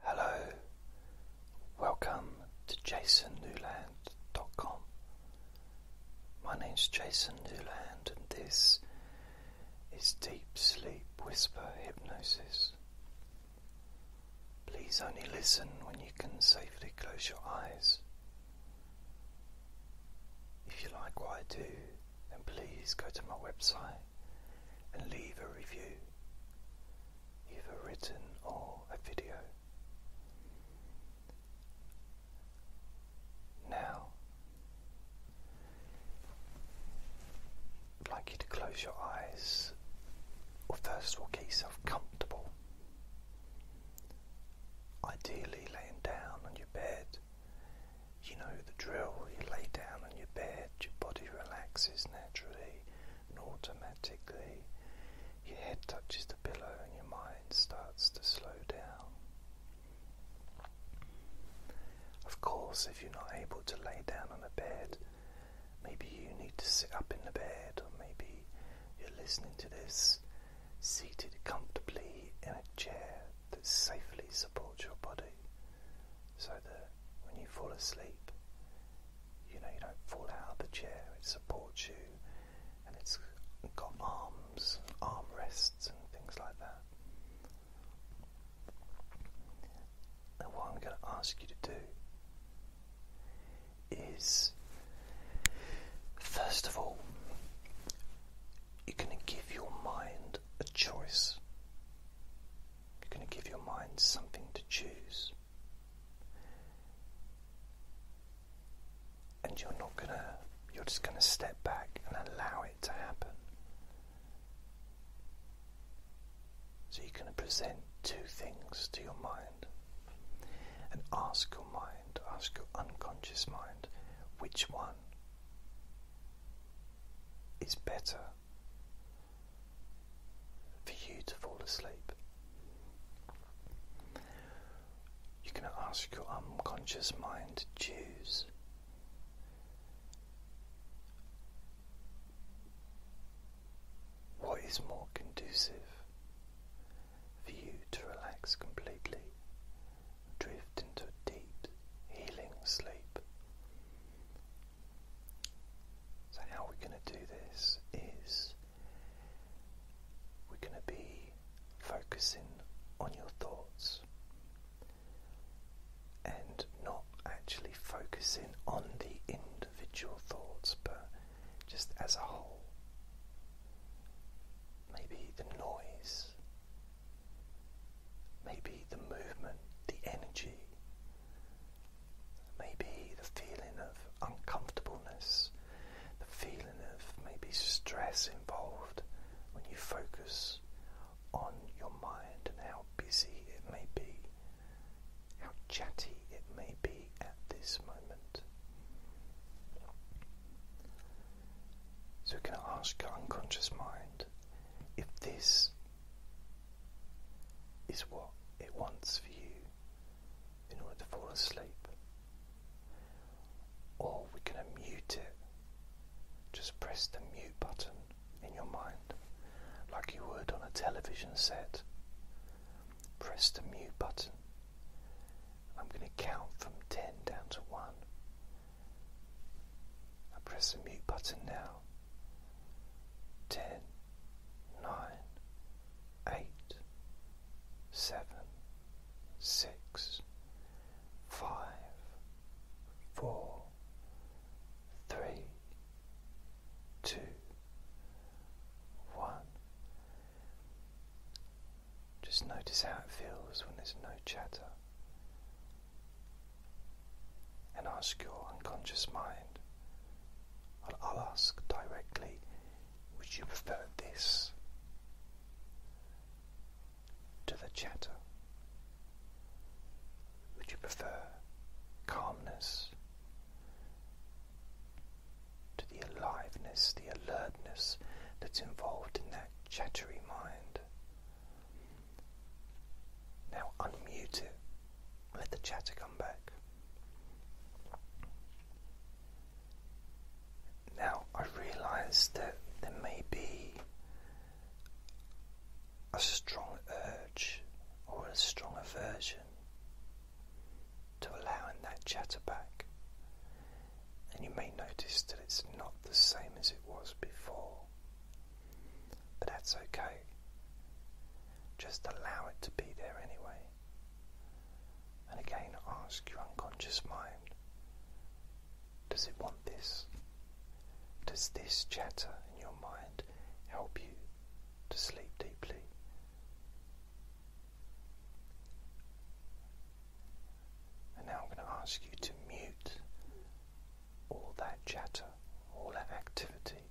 Hello, welcome to jasonnewland.com. My name's Jason Newland, and this is Deep Sleep Whisper Hypnosis. Please only listen when you can safely close your eyes. If you like what I do, then please go to my website and leave a review either written or a video. Now, I'd like you to close your eyes, or first of all, get yourself comfortable. Ideally, laying down on your bed. You know the drill, you lay down on your bed, your body relaxes naturally, and automatically your head touches the pillow and your mind starts to slow down. Of course, if you're not able to lay down on a bed, maybe you need to sit up in the bed, or maybe you're listening to this seated comfortably in a chair that safely supports your body so that when you fall asleep, you know, you don't fall out of the chair, it supports you, and it's got arms, arm rests, and things like that. And what I'm going to ask you to do is, first of all, you're going to give your mind a choice. You're going to give your mind something to choose. And you're not going to, you're just going to step back and allow it to happen. So you're going to present two things to your mind and ask your mind, ask your unconscious mind, which one is better for you to fall asleep. You can ask your unconscious mind to choose. What is more conducive for you to relax completely, drift into a deep, healing sleep, so, how we're going to do this is we're going to be focusing on your thoughts and not actually focusing on the individual thoughts but just as a whole. Maybe the noise, maybe the movement, the energy, Maybe the feeling of uncomfortableness, the feeling of maybe stress involved when you focus on your mind and how busy it may be, how chatty it may be at this moment. So, can I ask your unconscious mind if this is what it wants for you in order to fall asleep. Or we're going to mute it. Just press the mute button in your mind, like you would on a television set. Press the mute button. I'm going to count from 10 down to 1. I press the mute button now. 10 nine, eight, seven, six, five, four, three, two, one. Just notice how it feels when there's no chatter. And ask your unconscious mind I'll, ask directly, would you prefer this to the chatter? Would you prefer calmness to the aliveness, the alertness that's involved in that chattery mind? Now unmute it let the chatter come back. Now, I realize that there may be a strong urge or a strong aversion to allowing that chatter back. And you may notice that it's not the same as it was before. But that's okay just allow it to be there anyway. And again, ask your unconscious mind does it want this? Does this chatter in your mind help you to sleep deeply? And now I'm going to ask you to mute all that chatter, all that activity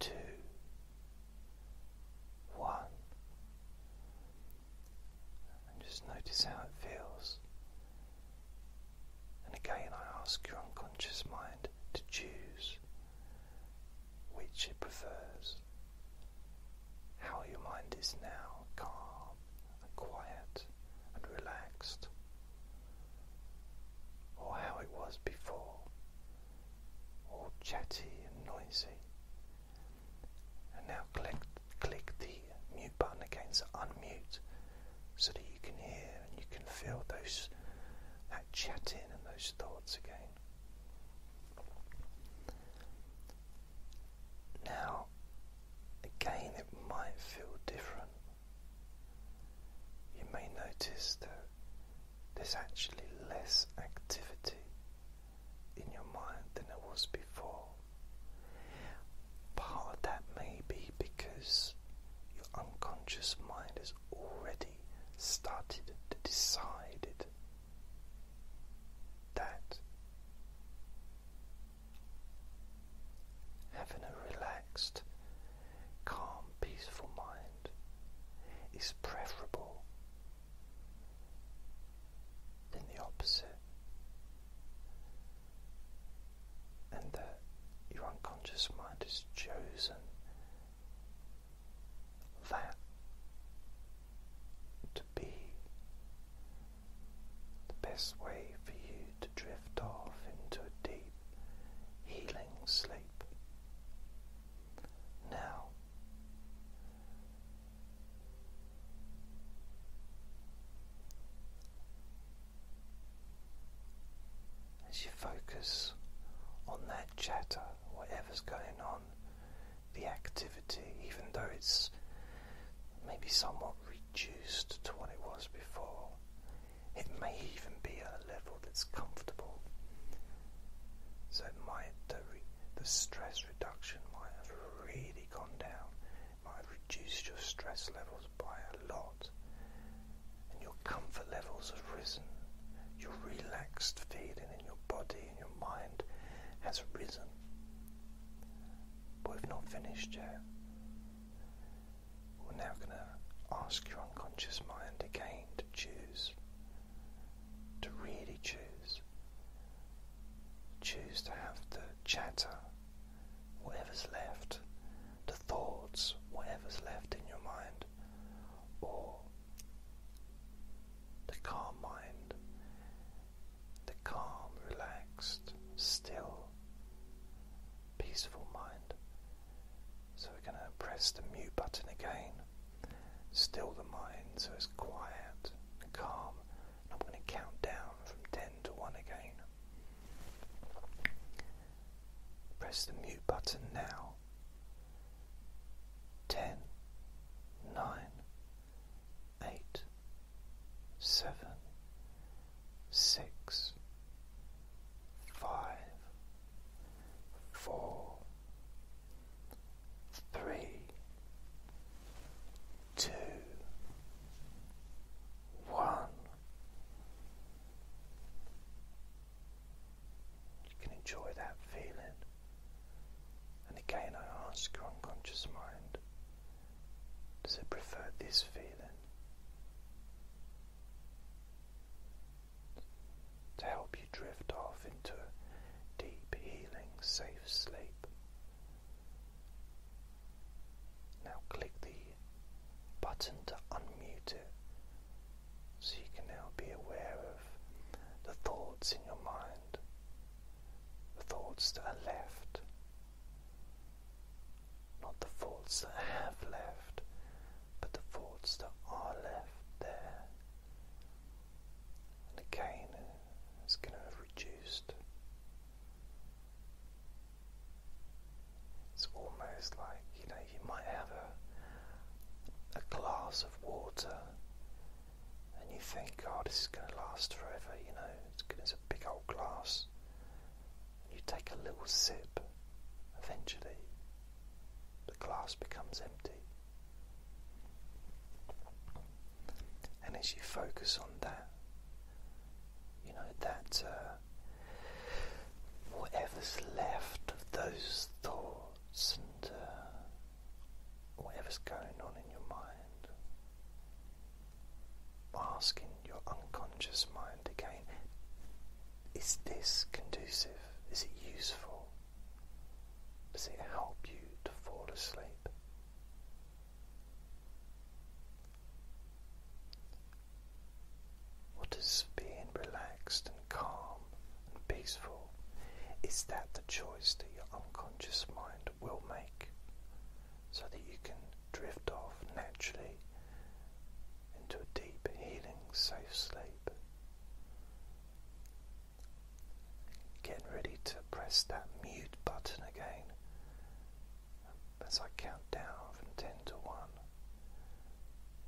two, one. And just notice how it feels. And again, I ask your unconscious mind to choose which it prefers. How your mind is now calm and quiet and relaxed, or how it was before all chatty and noisy. And now click, click the mute button again so unmute so that you can hear and you can feel those that chat in and those thoughts again. Now, again, it might feel different. You may notice that there's actually less activity in your mind than it was before. Part of that may be because your unconscious mind has already started to decide that having a relaxed, calm, peaceful mind is preferable then the opposite, and your unconscious mind has chosen that to be the best way for you to drift off into a deep healing sleep. Now, as you focus on that chatter, whatever's going on, the activity, even though it's maybe somewhat reduced to what it was before, it may even be at a level that's comfortable so the, the stress reduction might have really gone down, might have reduced your stress levels by a lot, and your comfort levels have risen. Your relaxed feeling in your body and your mind has risen. But we've not finished yet. We're now going to ask your unconscious mind again to choose to really choose. Choose to have the chatter, whatever's left, the thoughts, whatever's left in your mind, or the calm mind, the calm, relaxed, still, peaceful mind. So we're going to press the mute button again still the mind so it's quiet and calm. I'm going to count down from 10 to 1 again. Press the mute button now. 10, three, two, one. You can enjoy that feeling. And again, I ask your unconscious mind does it prefer this feeling? to help you drift off into deep, healing, safe sleep. Now click the button to unmute it so you can now be aware of the thoughts in your mind, the thoughts that are left, not the thoughts that have left, but the thoughts that are left there and cane is going to have reduced. It's almost like you know you might have a a glass of water and you think, God, oh, this is going to last forever, you know, it's, it's a big old glass. and You take a little sip, eventually the glass becomes empty. And as you focus on that, you know, that uh, whatever's left of those thoughts and uh, whatever's going on in your mind, asking your unconscious mind again is this conducive? Is it useful? Does it help you to fall asleep? What does being relaxed and calm and peaceful? Is that the choice that your unconscious mind will make so that you can drift off naturally into a deep, healing, safe sleep? Getting ready to press that mute button again as I count down from 10 to 1.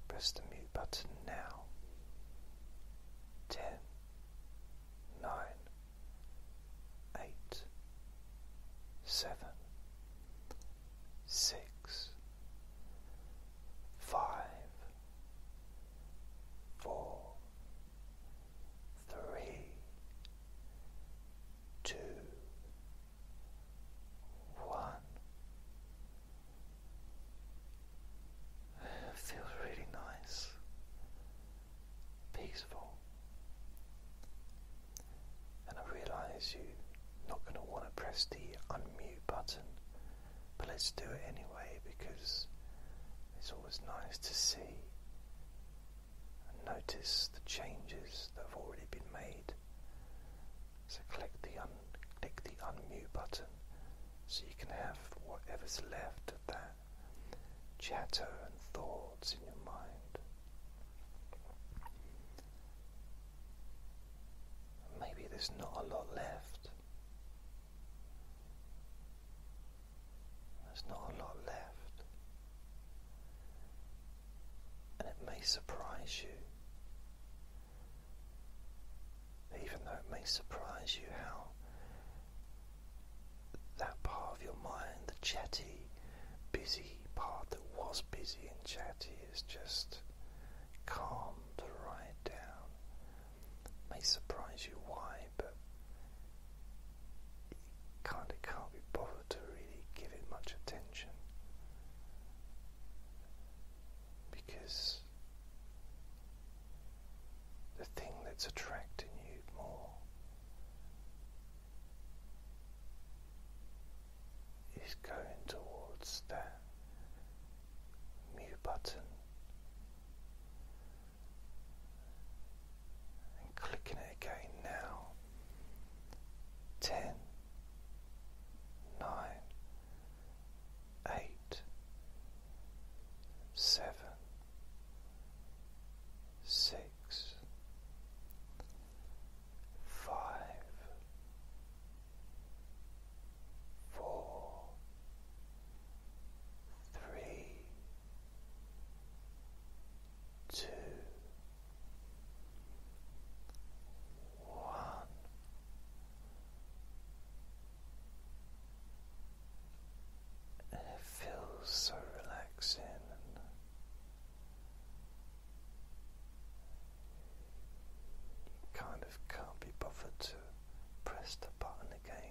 Press the mute button now. Ten, nine, eight, seven, six, five four, three, two, one. feels really nice, peaceful, and I realize you're not going to want to press the unmute button but let's do it anyway because it's always nice to see and notice the changes that have already been made. So click the un click the unmute button so you can have whatever's left of that chatter and thoughts in your mind. Maybe there's not a lot left. There's not a lot left, and it may surprise you, even though it may surprise you how that part of your mind, the chatty, busy part that was busy and chatty, is just calmed right down may surprise you why, but you kind of can't be bothered to really give it much attention because the thing that's attracting you more is going towards that mute button and clicking it again now. Ten, nine, eight, seven, six, five, four, three, two, one. it feels so relaxing you kind of can't be bothered to press the button again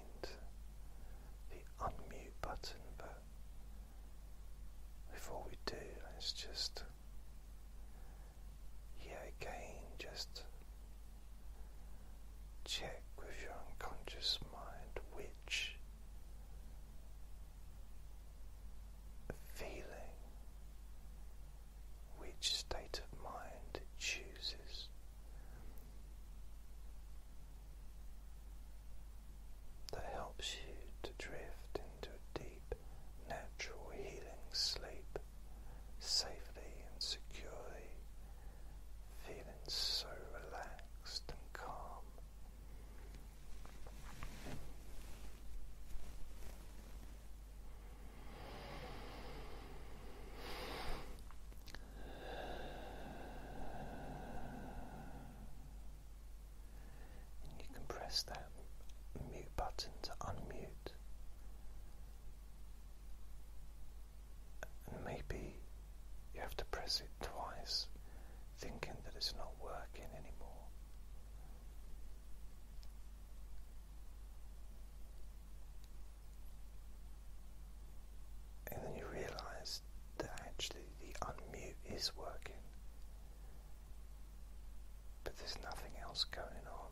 the unmute button, but before we do, let's just, yeah, again, just check with your unconscious mind which feeling. Which state of mind chooses that helps you to drift into a deep, natural healing sleep safely and securely, feeling so relaxed and calm you can press that mute button to unmute. And maybe you have to press it twice, thinking that it's not working anymore. And then you realize that actually the unmute is working, but there's nothing else going on.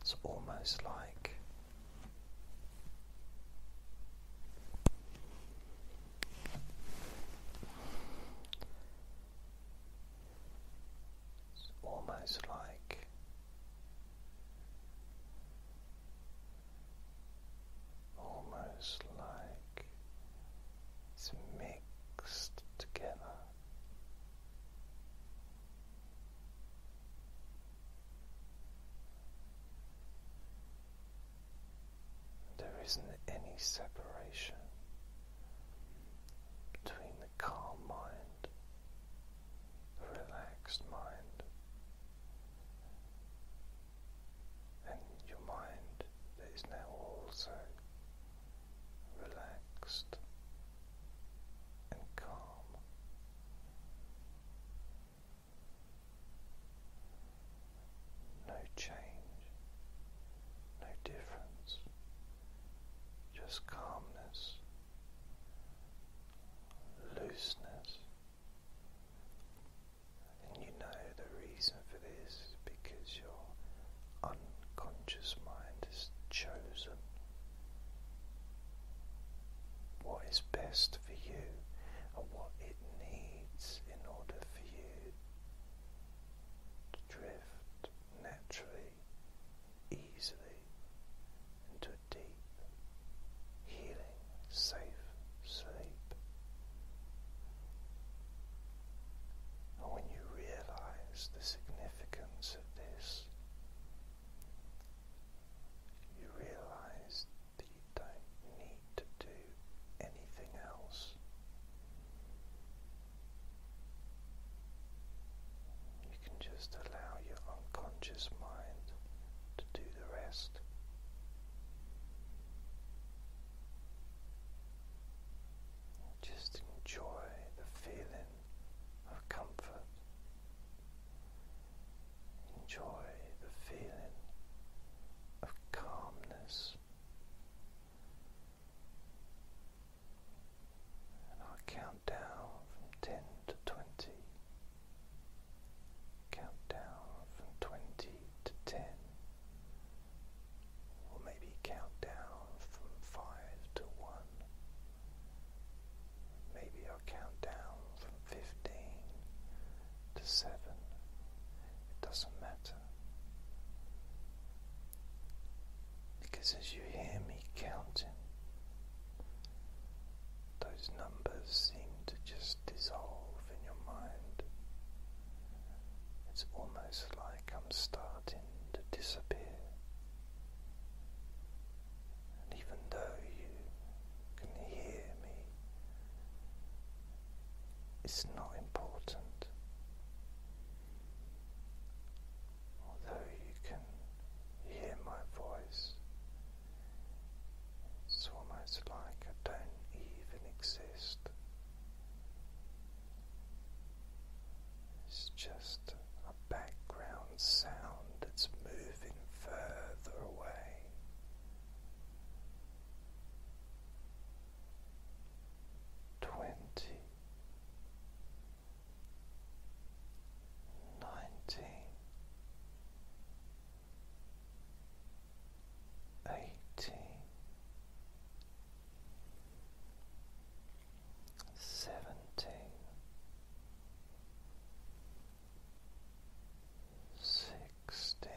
It's almost like it's almost like almost like it's mixed together. There isn't any separation between the calm mind, the relaxed mind, and your mind that is now also relaxed and calm. No change, no difference just calmness, looseness. And you know the reason for this because your unconscious mind has chosen what is best for you and what it needs in order for you to drift naturally easily into a deep, healing, safe sleep. And when you realize the significance of this, you realize that you don't need to do anything else. You can just allow your unconscious mind to do the rest. Just enjoy the feeling of comfort. Enjoy the feeling of calmness. And I'll count down from ten to twenty. Count down from twenty to ten. Or maybe count down from five to one. Maybe I'll count down from fifteen to seven. It doesn't matter. Because as you hear me counting, those numbers seem to just dissolve in your mind. It's almost like I'm starting to disappear. And even though you can hear me, it's not important although you can hear my voice, it's almost like I don't even exist. It's just a background sound that's moving further away. Twenty, nineteen eighteen seventeen sixteen